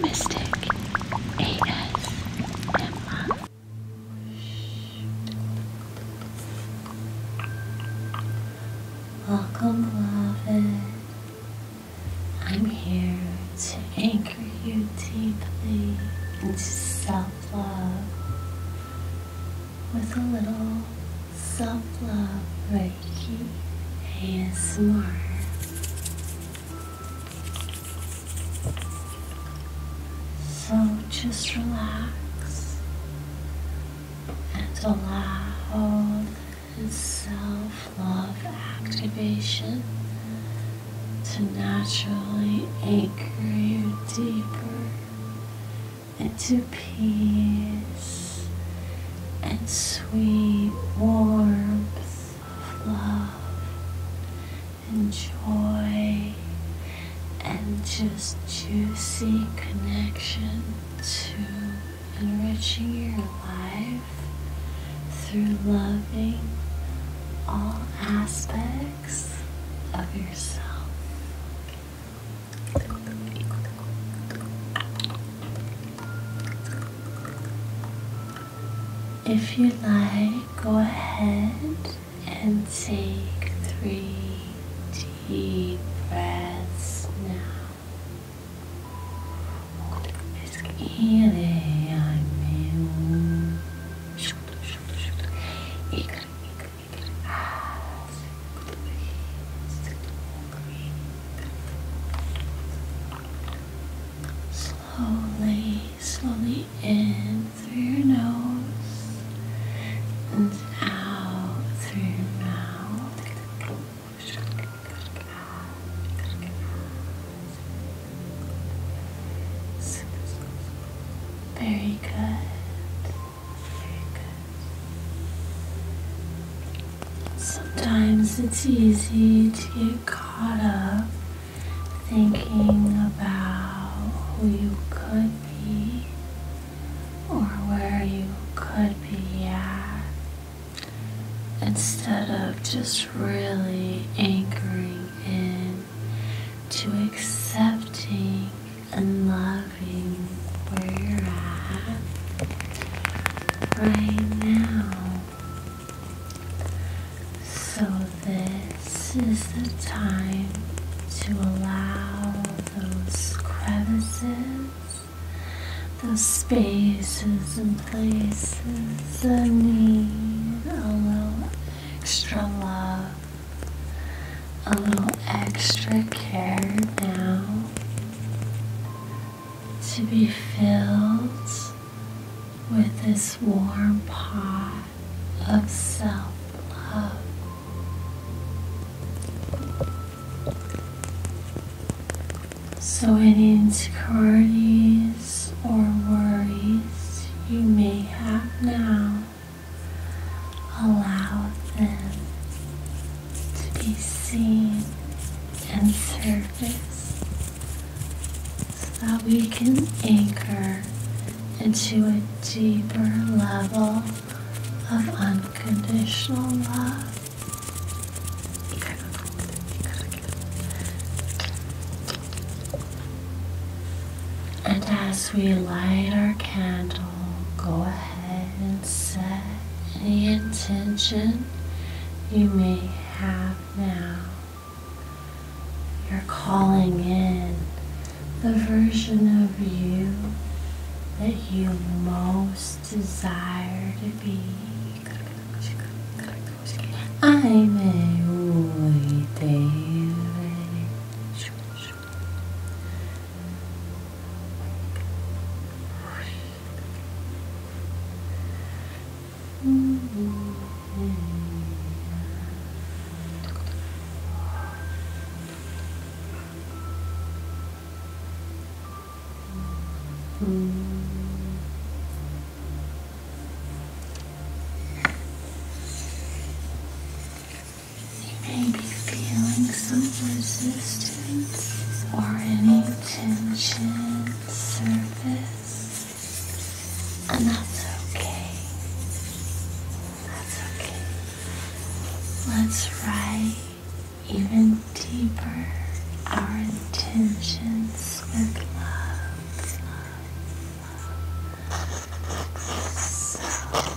Mystic ASMR. Welcome, beloved. I'm here to anchor you deeply into self love with a little self love. Turkey ASMR. So just relax and allow this self-love activation to naturally anchor you deeper into peace and sweet warmth of love and joy and just juicy connection to enriching your life through loving all aspects of yourself. If you like, go ahead and take three deep breaths now. Exhaling, I mean. Slowly, slowly in through your nose and out through your mouth. Very good. Very good. Sometimes it's easy to get caught up thinking about who you could be or where you could be at instead of just really anchoring in to accepting and loving where you're at right now. So, this is the time to allow those crevices, those spaces, and places that need a little extra love, a little extra care now to be filled with this warm pot of self love. So, any insecurities or worries you may have now, allow them to be seen and surface so that we can anchor into a deeper level of unconditional love. And as we light our candle, go ahead and set any intention you may have now. You're calling in the version of you that you most desire to be. i may a David. You may be feeling some resistance or any Intention surface, and that's okay. That's okay. Let's write even deeper our intentions with love. love, love,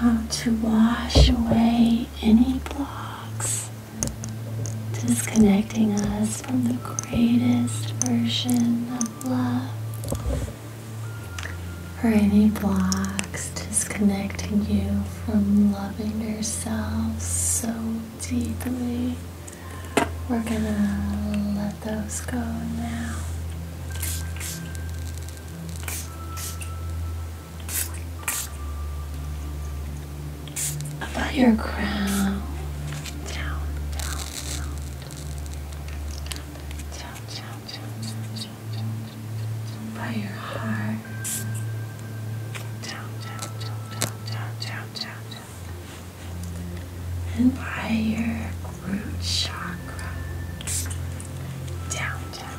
How to wash away any blocks disconnecting us from the greatest version of love. or any blocks disconnecting you from loving yourself so deeply, we're gonna let those go now. About your crown down, down, sound, by your heart. Down, down, down, down, down, down, down, down. And by your root chakra. down, down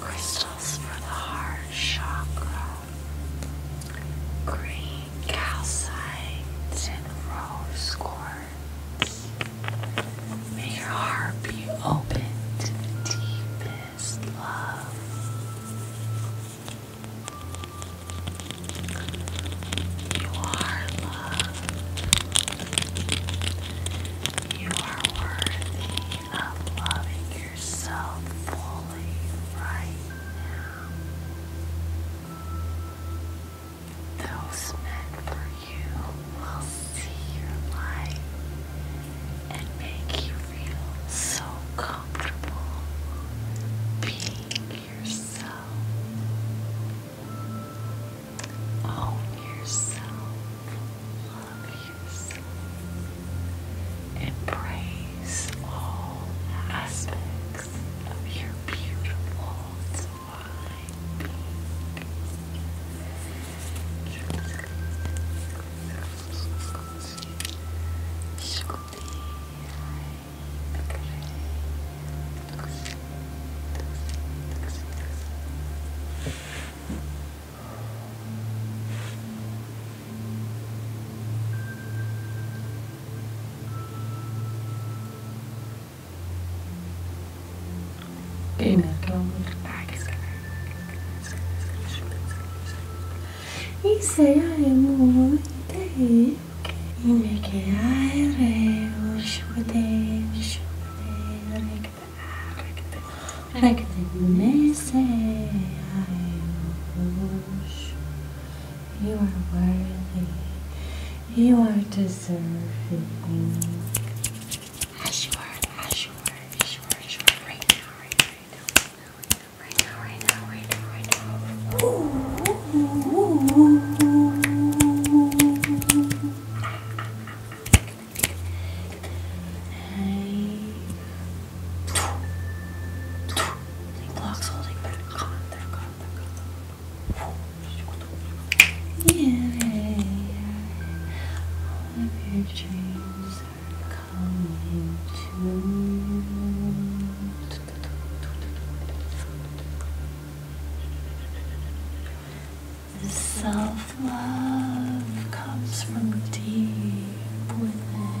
Crystals for the heart chakra. Green calcite and rose quartz. May your heart be open to the deepest is love. You are love. You are worthy of loving yourself fully right now. Those meant for you will see your light and make you feel so comfortable being yourself. Own yourself, love yourself, embrace all aspects of your beautiful divine being. Amen. Amen y seremos de yine kerare şude şude rekte rekte rekte nese You are worthy. You are deserving. As you are, as you are, as you are, as you are, right now, right now, right now, right now, right now, right now, right now. Yay! All of your dreams the self-love comes from deep within.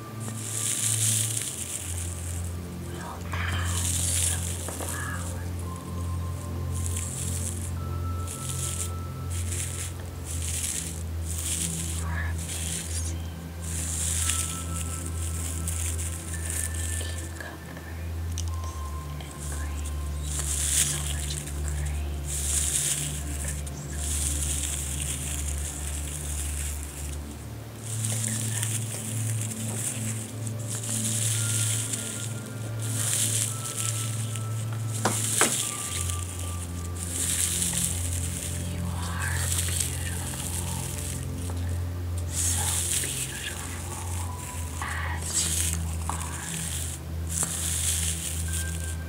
We'll add some flour. For amazing cucumbers and grains. So much grain. You are beautiful, so beautiful as you are.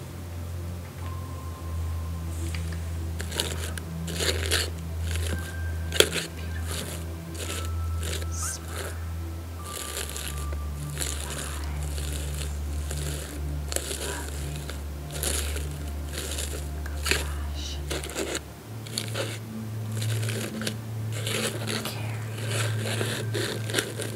Beautiful. Smart. Wise. Loving. Compassionate. Caring.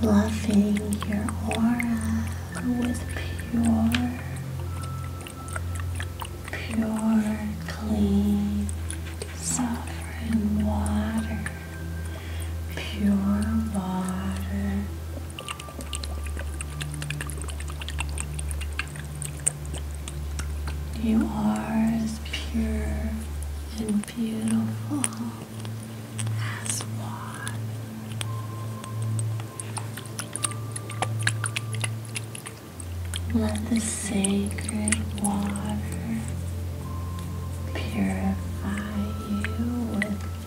Bluffing your aura with pure, pure, clean, sovereign water pure water. You are as pure and beautiful as water. Let the sacred water purify you with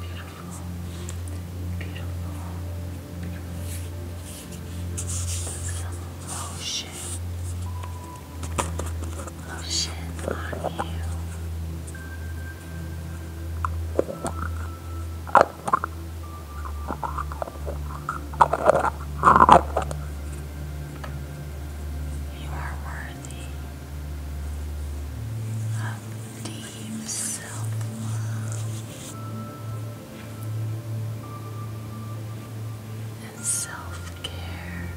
Beautiful. Beautiful. Beautiful. Some lotion. Lotion on you. You are worthy of deep self love and self care.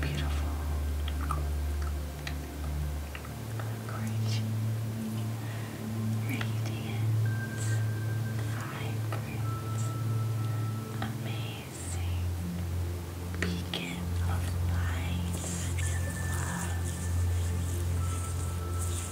Beautiful. Great. Radiant. Vibrant. Amazing. Beacon of light and love.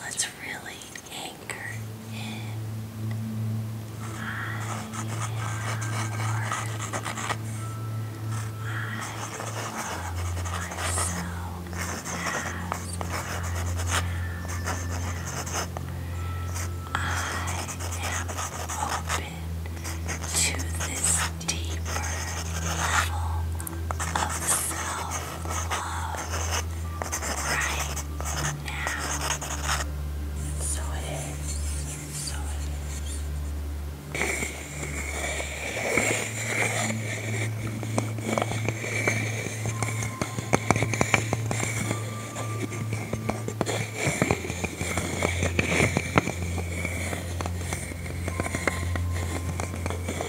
Let's really anchor in. I am I love myself I am open to this deeper level of self-love right now. So it is. So it is.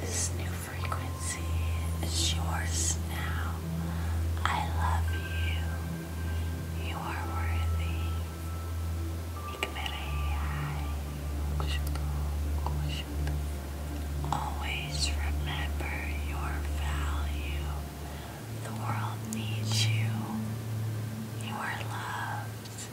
This new frequency is yours now. I love you. You are worthy. Always remember your value. The world needs you. You are loved.